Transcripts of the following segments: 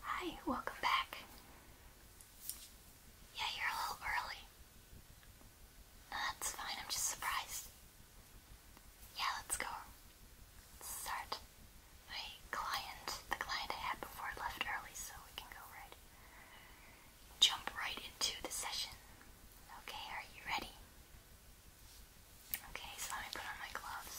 Hi, welcome back. Yeah, you're a little early. that's fine, I'm just surprised. Yeah, let's go. start. My client, the client I had before left early, so we can go right. Jump right into the session. Okay, are you ready? Okay, so let me put on my gloves.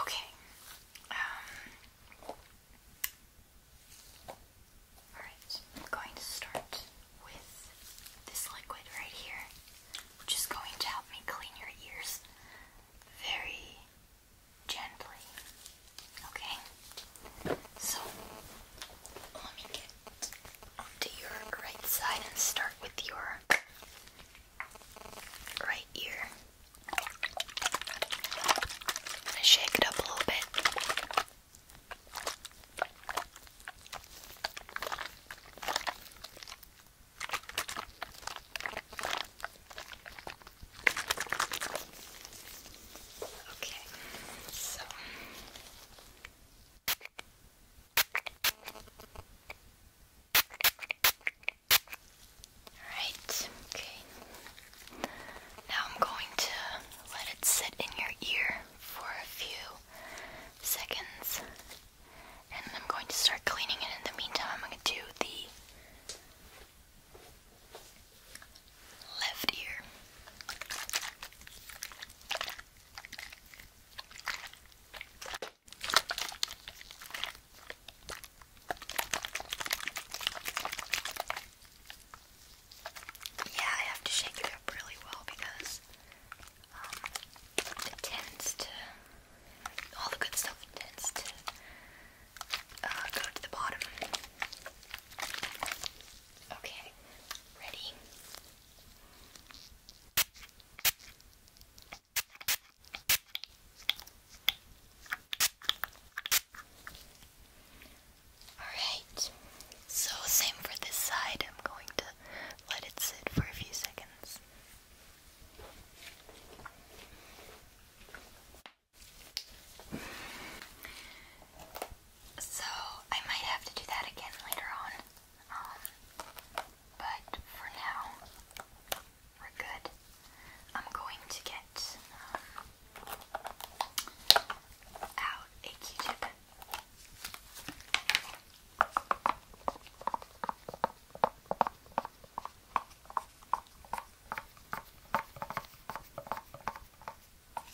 Okay. Um, Alright, I'm going to start with this liquid right here, which is going to help me clean your ears very gently. Okay, so let me get onto your right side and start with your right ear. gonna shake it up a little bit. Okay, so Right, okay. Now I'm going to let it sit in your ear for a few seconds and I'm going to start cleaning it. In the meantime, I'm going to do the Left ear. Yeah, I have to shake it up really well because um, it tends to, all the good stuff tends to uh, go to the bottom. Okay, ready? Alright, so same for this side. I'm going to let it sit for a few seconds. So I might have to do that again later on. Um, but for now, we're good. I'm going to get um, out a Q-tip. And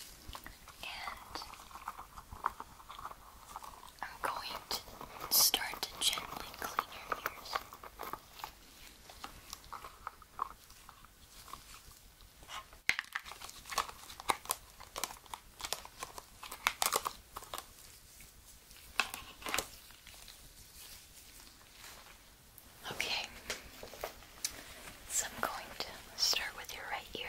I'm going to start to gently clean your ears. Okay, so I'm going to start with your right ear.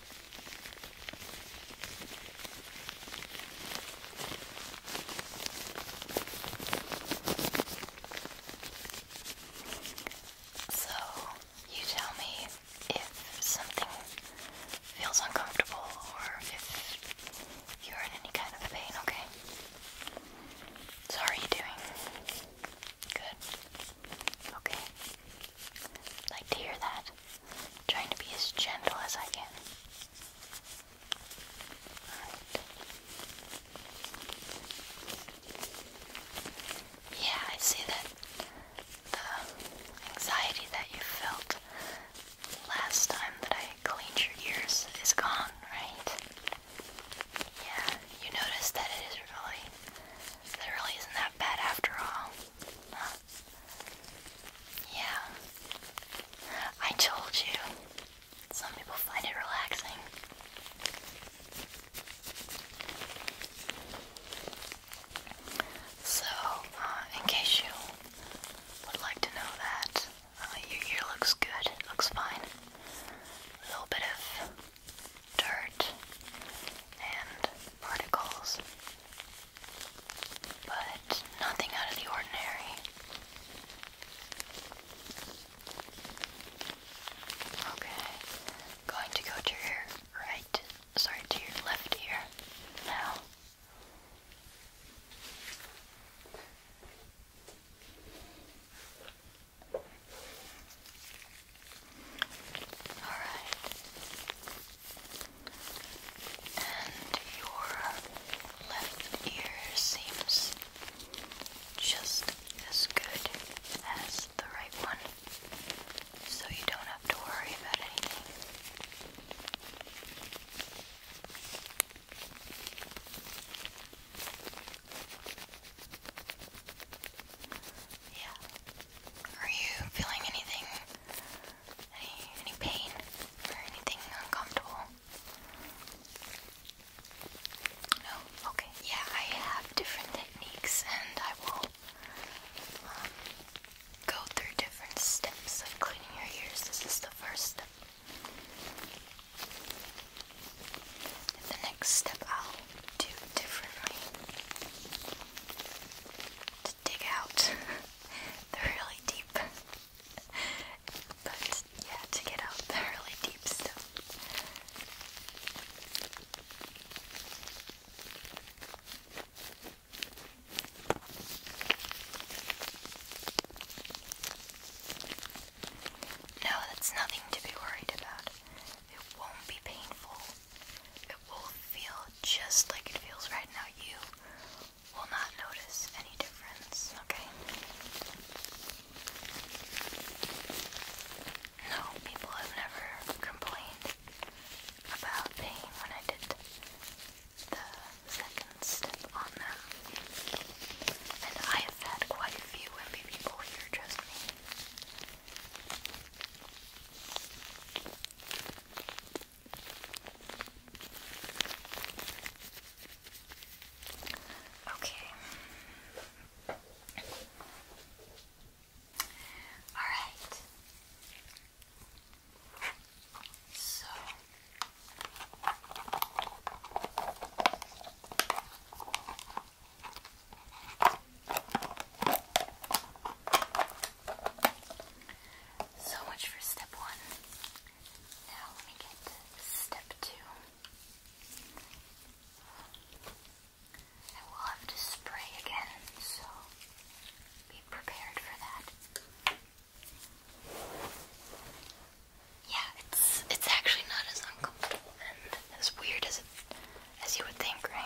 So, you tell me if something feels uncomfortable or if you're in any kind of pain, okay? how are you doing? Good. Okay like to hear that. trying to be as gentle as I can. Yeah, I see that the um, anxiety that you felt last time that I cleaned your ears is gone, right? Yeah, you notice that it is really, that really isn't that bad after all. Yeah. I told you. Some people find it relaxing. So, uh, in case you would like to know that, uh, your ear looks good, looks fine. A little bit of dirt and particles but nothing out of the ordinary. Okay, going to go to your right, sorry, to your left ear now. All right and your left ear seems just as good as the right one, so you don't have to worry about anything. Yeah. Are you feeling anything any, any pain or anything uncomfortable? No? Okay. Yeah, I have different techniques and I will um, go through different steps of cleaning your ears. This is the first step. the next step, I'll do differently to dig out. they really deep. but yeah, to get out the really deep stuff. No, that's nothing to be worried about. It won't be painful. It will feel just like it feels right now. You will not notice any difference, okay? No, people have never complained about pain when I did the second step on them. And I have had quite a few MB people here, trust me. Okay. All right. So so much for step one. Now let me get step two. I will have to spray again, so be prepared for that. Yeah, it's it's actually not as uncomfortable and as weird as it as you would think, right?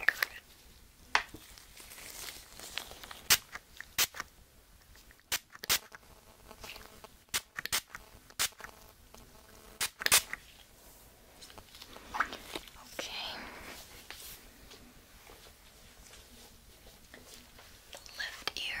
Okay. The left ear.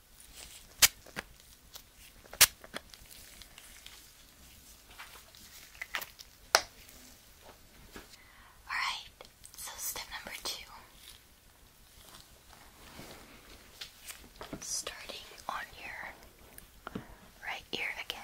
Alright, so step number two. Starting on your right ear again.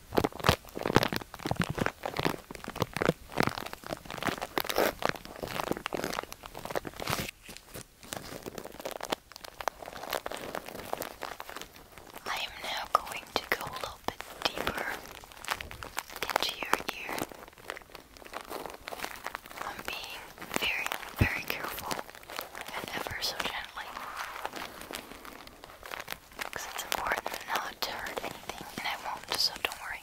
I am now going to go a little bit deeper into your ear. I'm being very, very careful and ever so gently. Because it's important not to hurt anything, and I won't, so don't worry.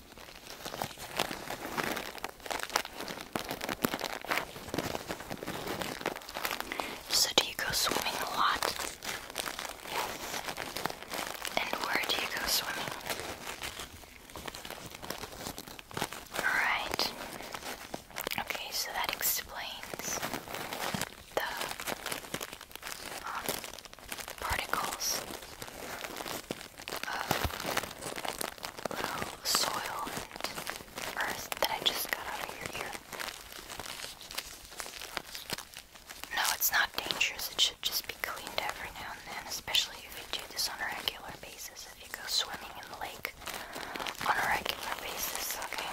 So, do you go swimming a lot? And where do you go swimming? Alright. Okay, so that explains the um, particles of little soil and earth that I just got out of your ear. No, it's not dangerous. It should just be cleaned every now and then, especially if you do this on a regular basis. If you go swimming in the lake on a regular basis, okay?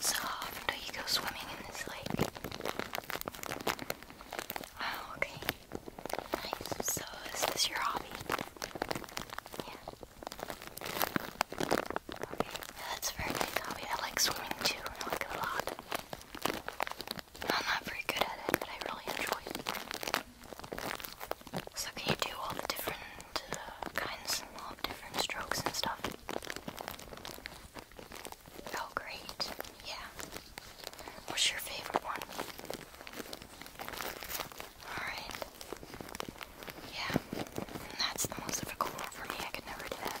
So often do you go swimming in this lake? Oh, okay. So is this your hobby? Yeah. Okay. that's a very nice hobby. I like swimming too. I like it a lot. I'm not very good at it, but I really enjoy it. So can you do all the different uh, kinds and all the different strokes and stuff? Oh great, yeah. What's your favorite one? Alright. Yeah, that's the most difficult one for me. I could never do that.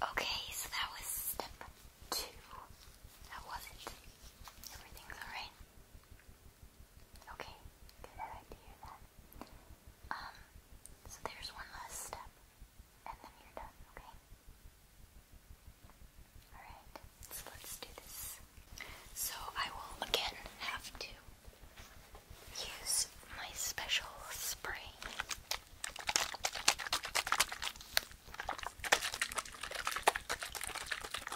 Okay, so that was step two. How was it? Everything's alright? Okay, good. I um, so there's one last step, and then you're done, okay? Alright, so let's do this. So I will again have to use my special spray.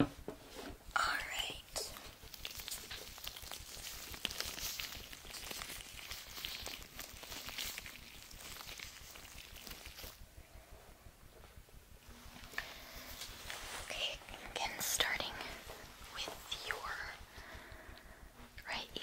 All right. Okay, again starting with your right ear.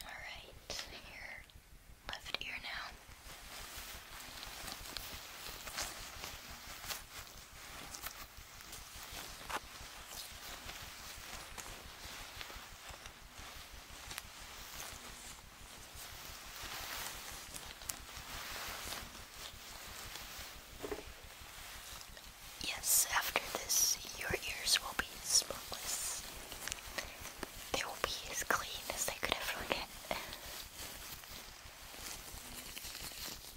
All right, here, left ear now. Yes, after this, your ears will be spotless. They will be as clean as they could ever get.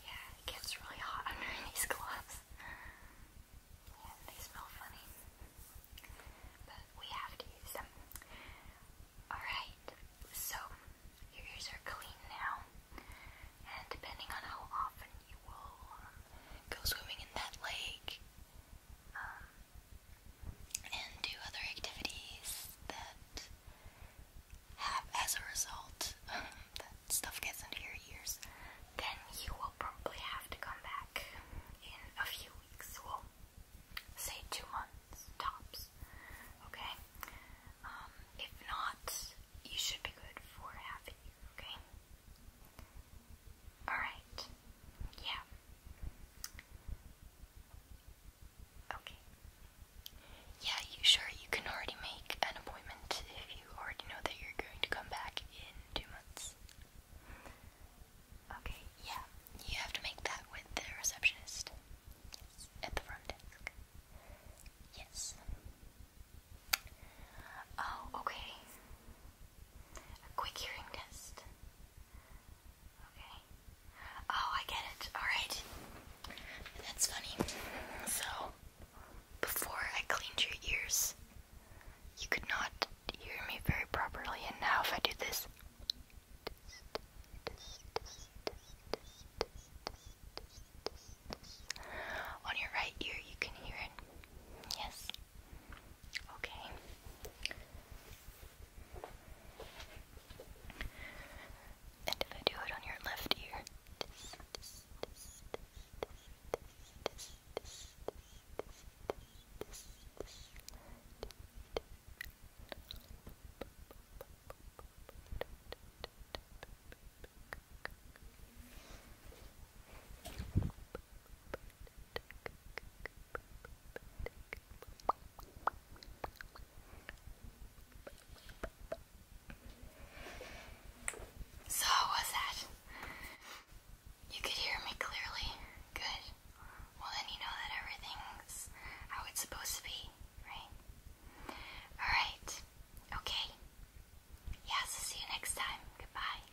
Yeah, it gets really hot under these gloves. Yeah, they smell funny. But we have to use them. Alright, so your ears are clean now. And depending on how often you will um, go swimming in that lake, um, and do other activities that have, as a result, um, that stuff gets into your ears, then you will probably have to come back in a few weeks. Well, say two months tops. Okay. Um, if not, you should be good for half a year. Okay. All right. Yeah. Okay. Yeah, you sure you can already make an appointment if you already know that you're going to come back in two months. Okay, yeah. You have to make that with the receptionist. Yes. At the front desk. Yes. Oh, okay. A quick hearing test. Okay. Oh, I get it. Alright. That's funny. So, before I cleaned your ears, you could not hear me very properly, and now if I do this, on your right ear, you can hear it. Yes. Okay. And if I do it on your left ear. So, what's that? You could hear me clearly. Good. Well, then you know that everything's how it's supposed to be, right? Alright. Okay. Yeah, see you next time. Goodbye.